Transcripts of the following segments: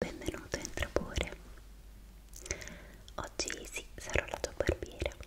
Benvenuto in Trapore. Oggi sì, sarò la tua barbiera. Ecco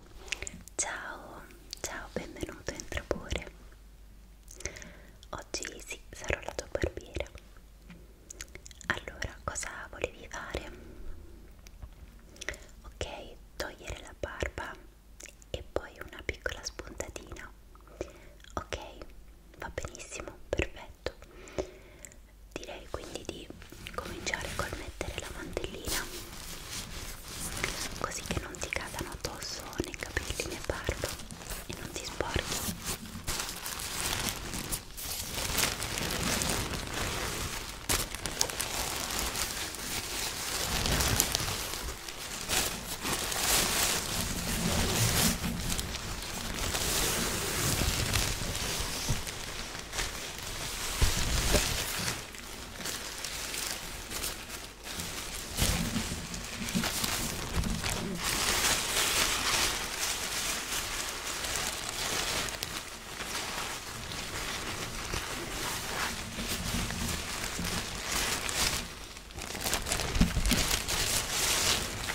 Ciao, ciao, benvenuto in Trapore. Oggi sì, sarò la tua barbiera. Allora, cosa volevi fare? Ok, togliere la barba e poi una piccola spuntatina. Ok, va benissimo, perfetto. Direi quindi di cominciare col mettere la mantellina così che non ti cadano addosso nei capelli né parlo e non ti sporchi ok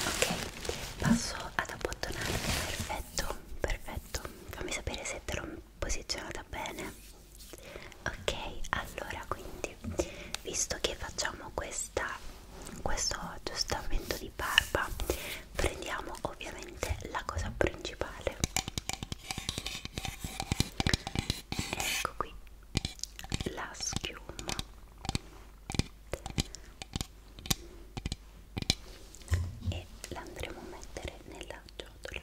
Ok, passo ad abbottonarmi, perfetto, perfetto. Fammi sapere se te lo posizionata bene ok allora quindi visto che facciamo questa questo aggiustamento di barba prendiamo ovviamente la cosa principale ecco qui la schiuma e la andremo a mettere nella ciotola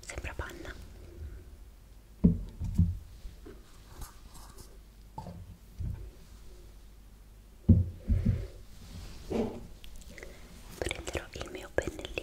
sembra panna prenderò il mio pennellino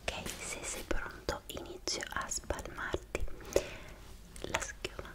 Ok, se sei pronto inizio a spalmarti la schiuma.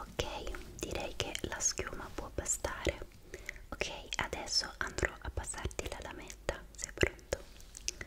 ok direi che la schiuma può bastare ok adesso andrò a passarti la lametta sei pronto ok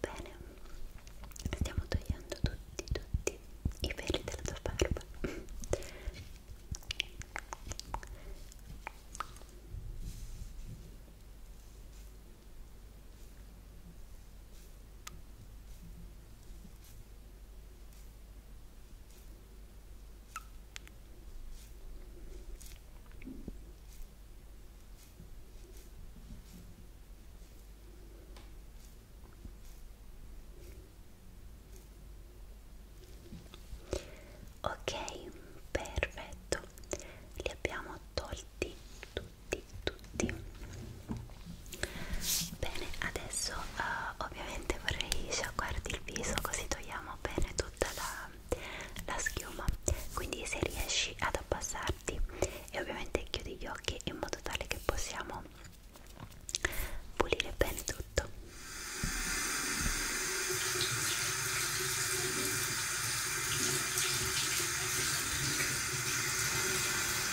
Bene, stiamo togliendo tutti, tutti i peli della tua barba. Bene, Ok, perfetto, li abbiamo tolti tutti, tutti. Bene, adesso uh, ovviamente vorrei sciacquarti il viso così togliamo bene tutta la, la schiuma. Quindi se riesci ad abbassarti e ovviamente chiudi gli occhi in modo tale che possiamo pulire bene tutto. Bene,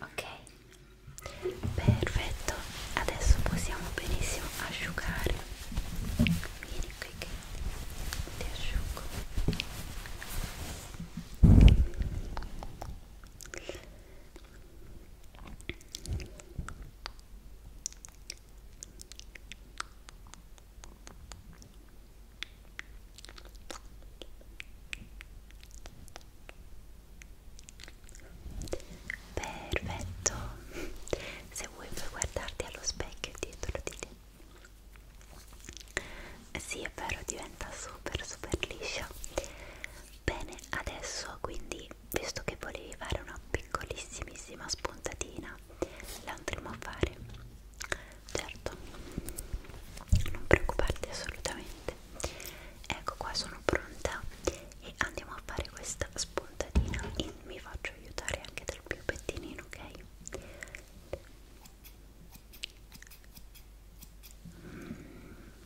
Ok, perfetto. Adesso possiamo benissimo asciugare. Vieni qui che ti asciugo. Perfetto, se vuoi puoi guardarti allo specchio dietro di te. Sì, è vero, diventa super super liscia. Bene, adesso quindi, visto che volevi fare una piccolissimissima spuntatina, la andremo a fare. Certo, non preoccuparti assolutamente. Ecco qua, sono pronta e andiamo a fare questa spuntatina e mi faccio aiutare anche dal mio pettinino, ok? Mm.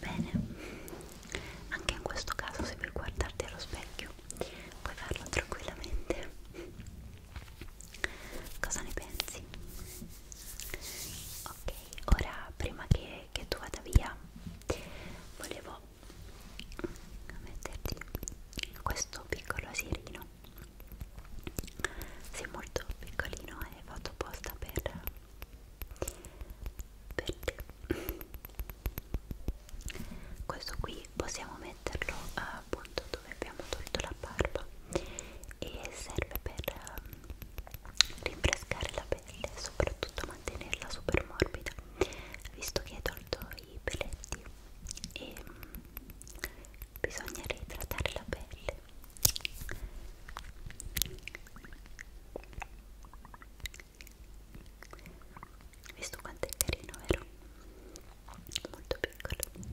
Bene, anche in questo caso se vuoi guardarti allo specchio puoi farlo tranquillamente. Cosa ne pensi? Ok, ora prima che, che tu vada via volevo metterti questo piccolo asierino. Sei molto piccolino e fatto apposta per per te questo qui possiamo metterlo appunto dove abbiamo tolto la barba e serve per ehm, rinfrescare la pelle soprattutto mantenerla super morbida visto che hai tolto i peletti e mm, bisogna reidratare la pelle Visto quanto è carino, vero? Molto piccolo. Ecco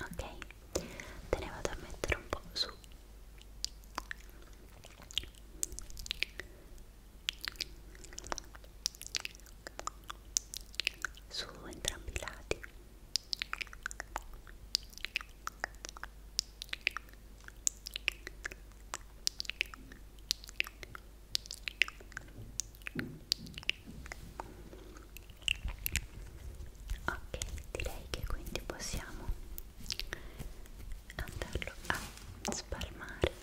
Ok, te ne vado a mettere un po' su su entrambi i lati ok direi che quindi possiamo andarlo a spalmare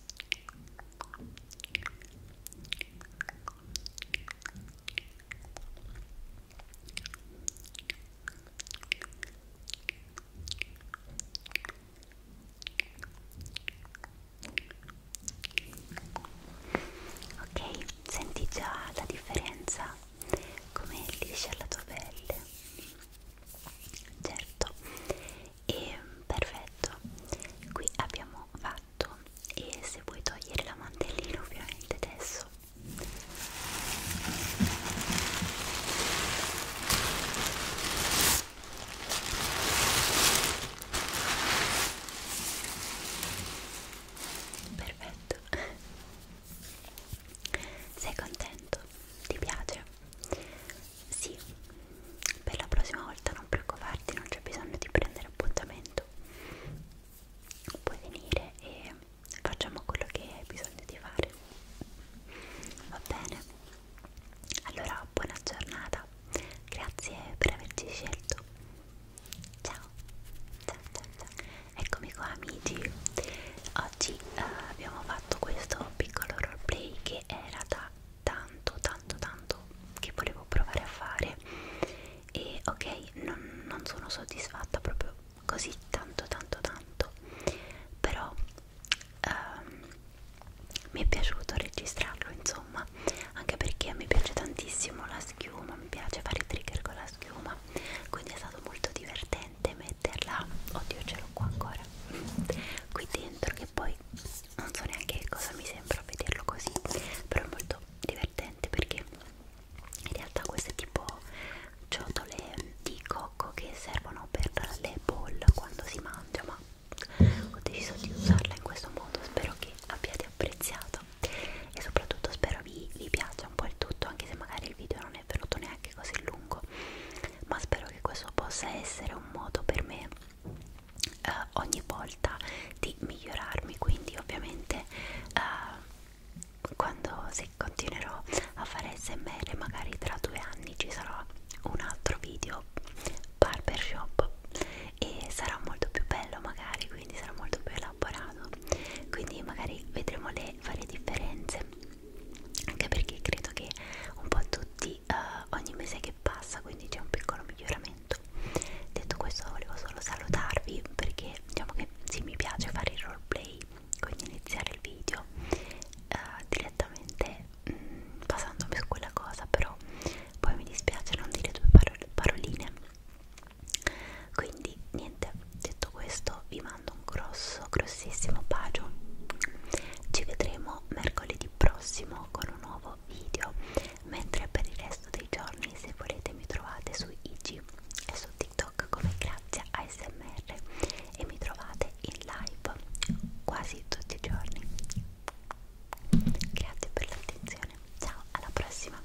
Ok, senti già la differenza come liscia la tua pelle. Certo, e perfetto qui abbiamo fatto e se vuoi togliere la mantellina ovviamente adesso perfetto sei contento ti piace sì, per la prossima volta non preoccuparti, non c'è bisogno di prendere appuntamento. Puoi venire e facciamo quello che hai bisogno di fare. Va bene? Allora, buona giornata. Grazie per averci scelto. Ciao. Ciao, ciao, ciao. Eccomi qua amici. Oggi eh, abbiamo fatto questo piccolo roleplay che era da tanto tanto tanto che volevo provare a fare e ok non, non sono soddisfatta proprio così tanto tanto tanto però um, mi è piaciuto registrarlo insomma anche perché mi piace tantissimo la schiuma mi piace fare trigger con la schiuma quindi è stato molto divertente metterla oddio ce l'ho qua ancora qui dentro che poi non so neanche che cosa mi sembra vederlo così però è molto divertente perché in realtà queste tipo ciotole di cocco che servono per le bowl quando si mangia ma ho deciso di usarla in questo modo spero che abbiate apprezzato e soprattutto spero vi, vi piaccia un po' il tutto anche se magari il video non è venuto neanche così lungo ma spero che questo possa essere un modo per me eh, ogni volta di migliorarmi quindi ovviamente eh, quando se continuerò a fare smr magari tra due anni ci sarà un altro video barbershop e sarà molto più bello magari quindi sarà molto più elaborato quindi magari vedremo le varie differenze anche perché credo che un po' tutti di uh, eh, ogni mese che passa quindi c'è un piccolo miglioramento detto questo volevo solo salutarvi perché diciamo che sì mi piace fare il roleplay quindi iniziare il video uh, direttamente mh, mm, basandomi su quella cosa però poi mi dispiace non dire due parol paroline quindi niente detto questo vi mando un grosso suo grossissimo bacio ci vedremo mercoledì prossimo con un nuovo video mentre per il resto dei giorni se volete mi trovate su IG e su TikTok come Grazia ASMR e mi trovate in live quasi tutti i giorni grazie per l'attenzione ciao alla prossima